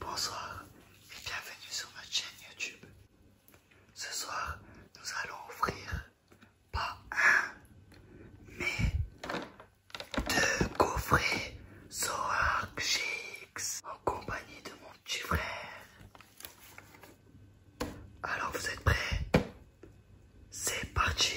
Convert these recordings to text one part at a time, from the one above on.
Bonsoir et bienvenue sur ma chaîne YouTube. Ce soir, nous allons offrir, pas un, mais deux coffrets so GX en compagnie de mon petit frère. Alors vous êtes prêts C'est parti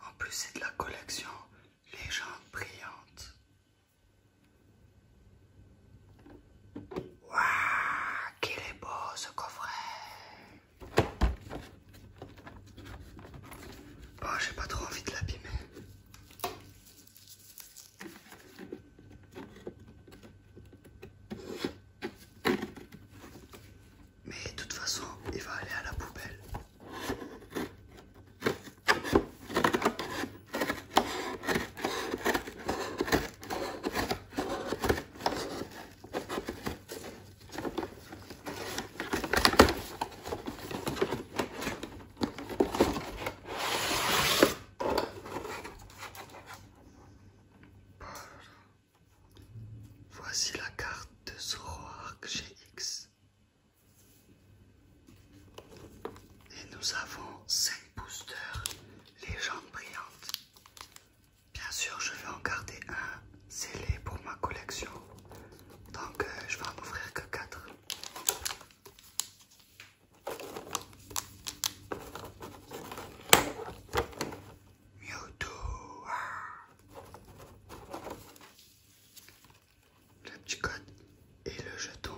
En plus, c'est de la collection Légende brillante. Waouh, qu'il est beau ce coffret! Oh, j'ai pas trop envie de l'abîmer. Mais de toute façon, il va aller à la poubelle. Voici la carte de Zoroark GX. Et nous avons 5 boosters légendes brillantes. Bien sûr, je vais en garder un scellé pour ma collection. Donc, euh, je vais en ouvrir que 4. Mewtwo le petit code et le jeton.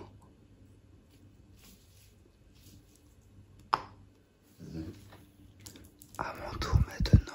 À mon tour maintenant.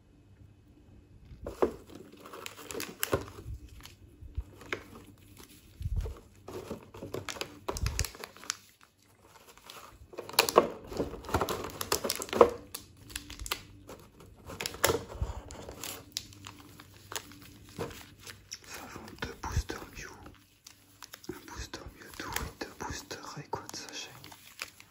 Ça vend deux boosters Mew, un booster Mewtwo et deux boosters sa sachet.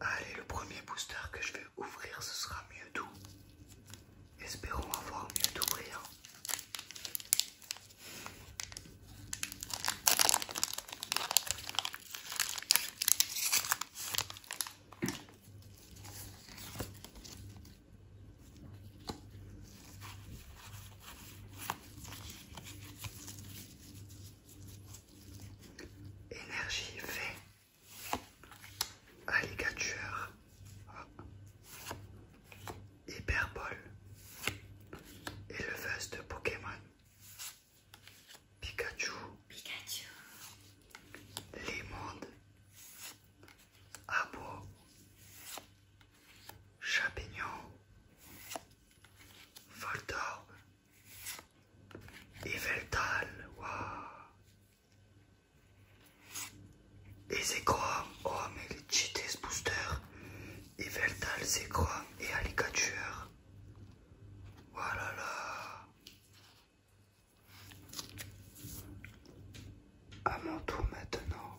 Allez, le premier booster que je vais ouvrir, ce sera mieux doux. Espérons avoir mieux d'ouvrir. Énergie fait alligature hyperbole éleveuse de Pokémon Pikachu Pikachu Les Abo Champignon Voldorb et wa, Et Et Zekrom, oh mais les ce booster! Et c'est Zekrom et Alicature, voilà là! À mon tour maintenant.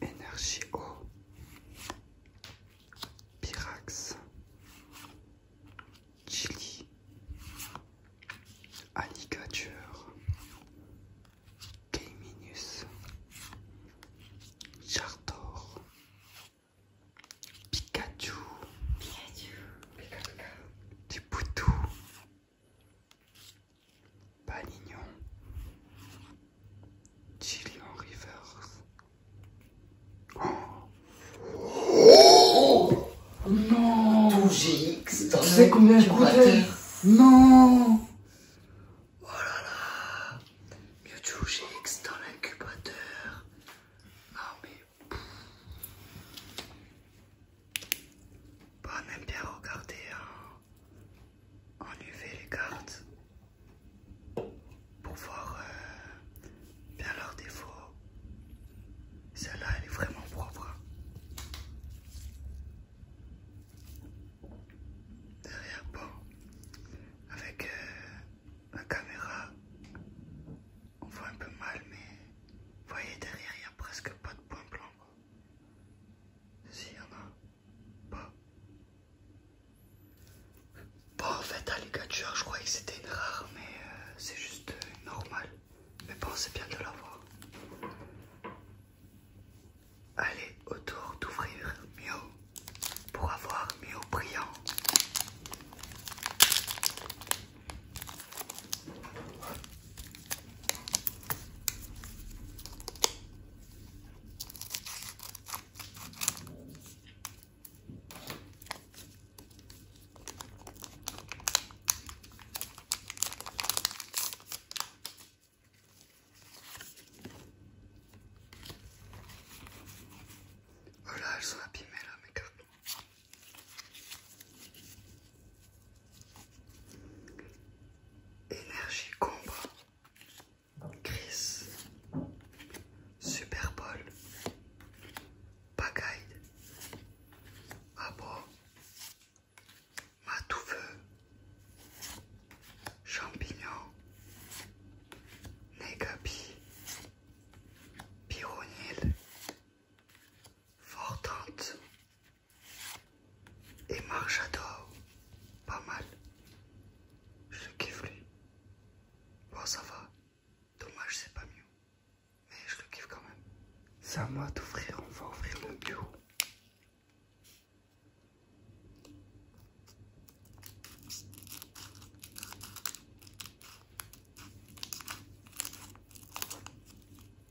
Énergie O Pyrax, Chili, Alligature, Caiminus, Chartor, Pikachu, Pikachu, Pikachu, P Panignon, chili Rivers. Oh, oh non Tu sais combien je coûtait Non Oh là là Mewtwo GX dans l'incubateur. Non ah, mais... Pas bah, même bien regarder hein, en, UV les cartes pour voir euh, bien leurs défauts. Celle-là, elle est vraiment propre. Hein. Derrière, bon, avec la euh, caméra, on voit un peu mal, mais voyez derrière, il n'y a presque pas de point blanc. Si y en a pas. Bon, en fait, alligator, je croyais que c'était une rare, mais euh, c'est juste euh, normal. Mais bon, c'est bien de l'avoir. Allez, autour d'ouvrir Mio pour avoir Mio brillant. Oh là, elles sont abîmées là, mes cartons. Énergie Combre, Chris, Bowl, pagaille, Abo, Matoufeu, Champignon, Negapi, Pyronil, Fortante, et marche j'adore. Pas mal. Je le kiffe lui. Bon ça va. Dommage c'est pas mieux. Mais je le kiffe quand même. C'est à moi d'ouvrir. On va ouvrir le bureau.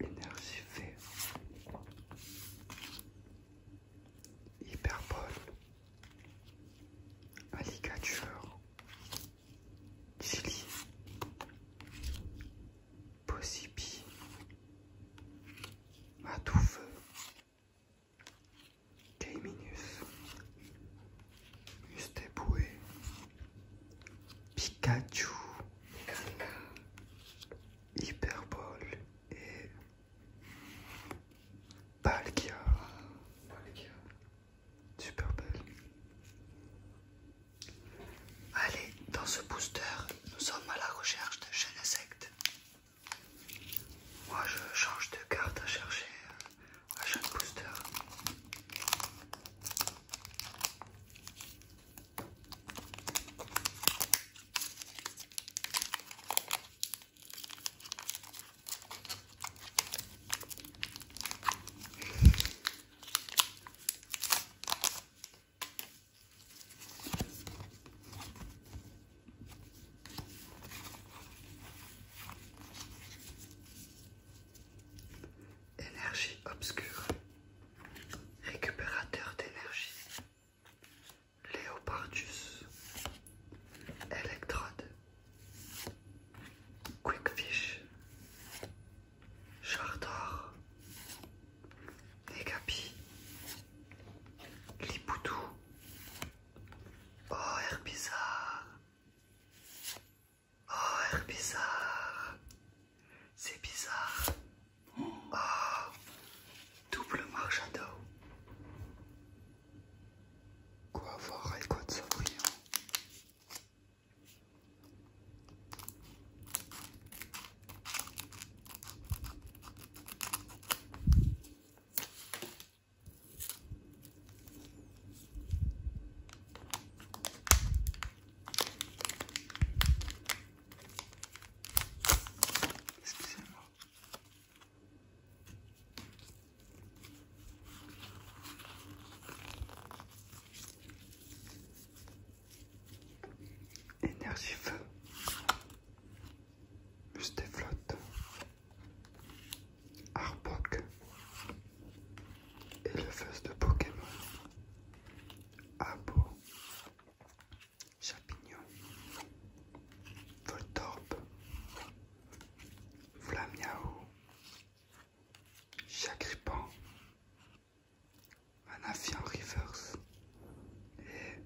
Énergie Hyperbole. Alligature. Chili. tout Matoufeu. Minus Pikachu, Hyperbole et Palkia. Super belle. Allez, dans ce booster, nous sommes à la recherche de chaînes sectes Moi, je change de carte à chercher achat de booster. Énergie obscure. Récupérateur d'énergie. Léopardus. Electrode, Quickfish. Chardor. Negapi. Lipoutou. Oh, bizarre Oh, bizarre. C'est bizarre. Oh, double dos, Quoi voir avec quoi de ça Excusez-moi. feu. Juste flotte. Arbok, éleveuse de Pokémon, Abo, Chapignon, Voltorp Flamiao, Chagripan, Manafian Rivers et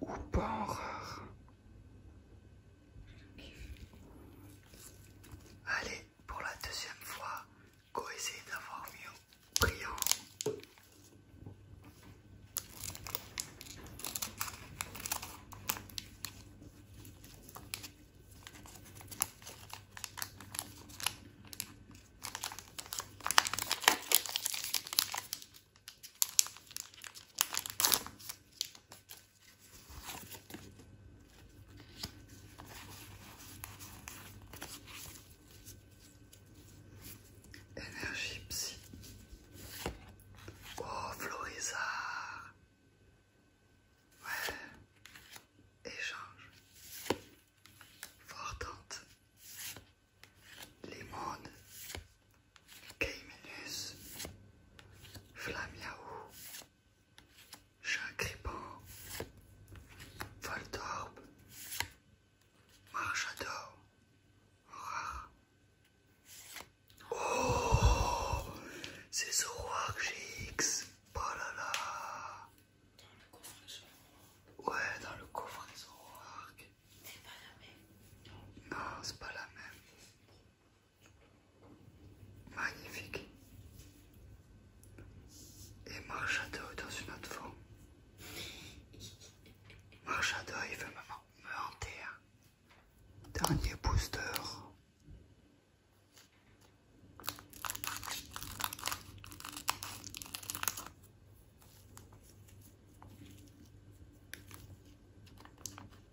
Oupan Rare. Allez, pour la deuxième fois, go essayer d'avoir mieux. Prions. Énergie psy. Oh, Florizard. Ouais. Échange. Fortante. Limone. Caeminus, Flamiaou, Chacriban, Voltorb, Marchador, rare. Oh C'est Zoroark GX Oh là là Dans le coffre Zoroark Ouais, dans le coffre de Zoroark C'est pas la même non c'est pas la même magnifique et marche à dans une autre forme. Marche il veut me, me Dernier booster.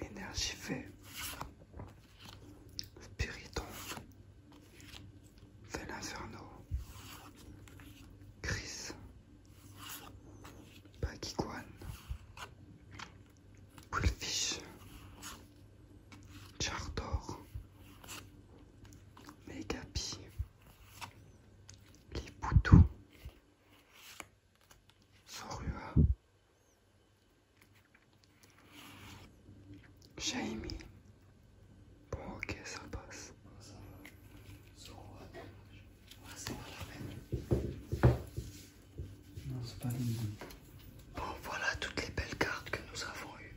Énergie fait. Spiriton. Felinferno Chris. Pakiguan. Willfish. Chardor. Megapi. Les Sorua, Jaime. Bon, ok, ça passe. ça va. Sorua, ouais, c'est la même. Non, c'est pas la même. Bon, voilà toutes les belles cartes que nous avons eues.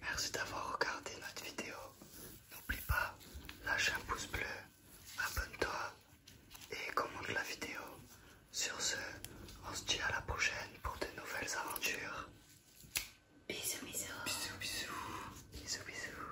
Merci d'avoir regardé notre vidéo. N'oublie pas, lâche un pouce bleu, abonne-toi et commente la vidéo. Sur ce, on se dit à la prochaine pour de nouvelles aventures. Bisous, bisous. Bisous, bisous. Bisous, bisous.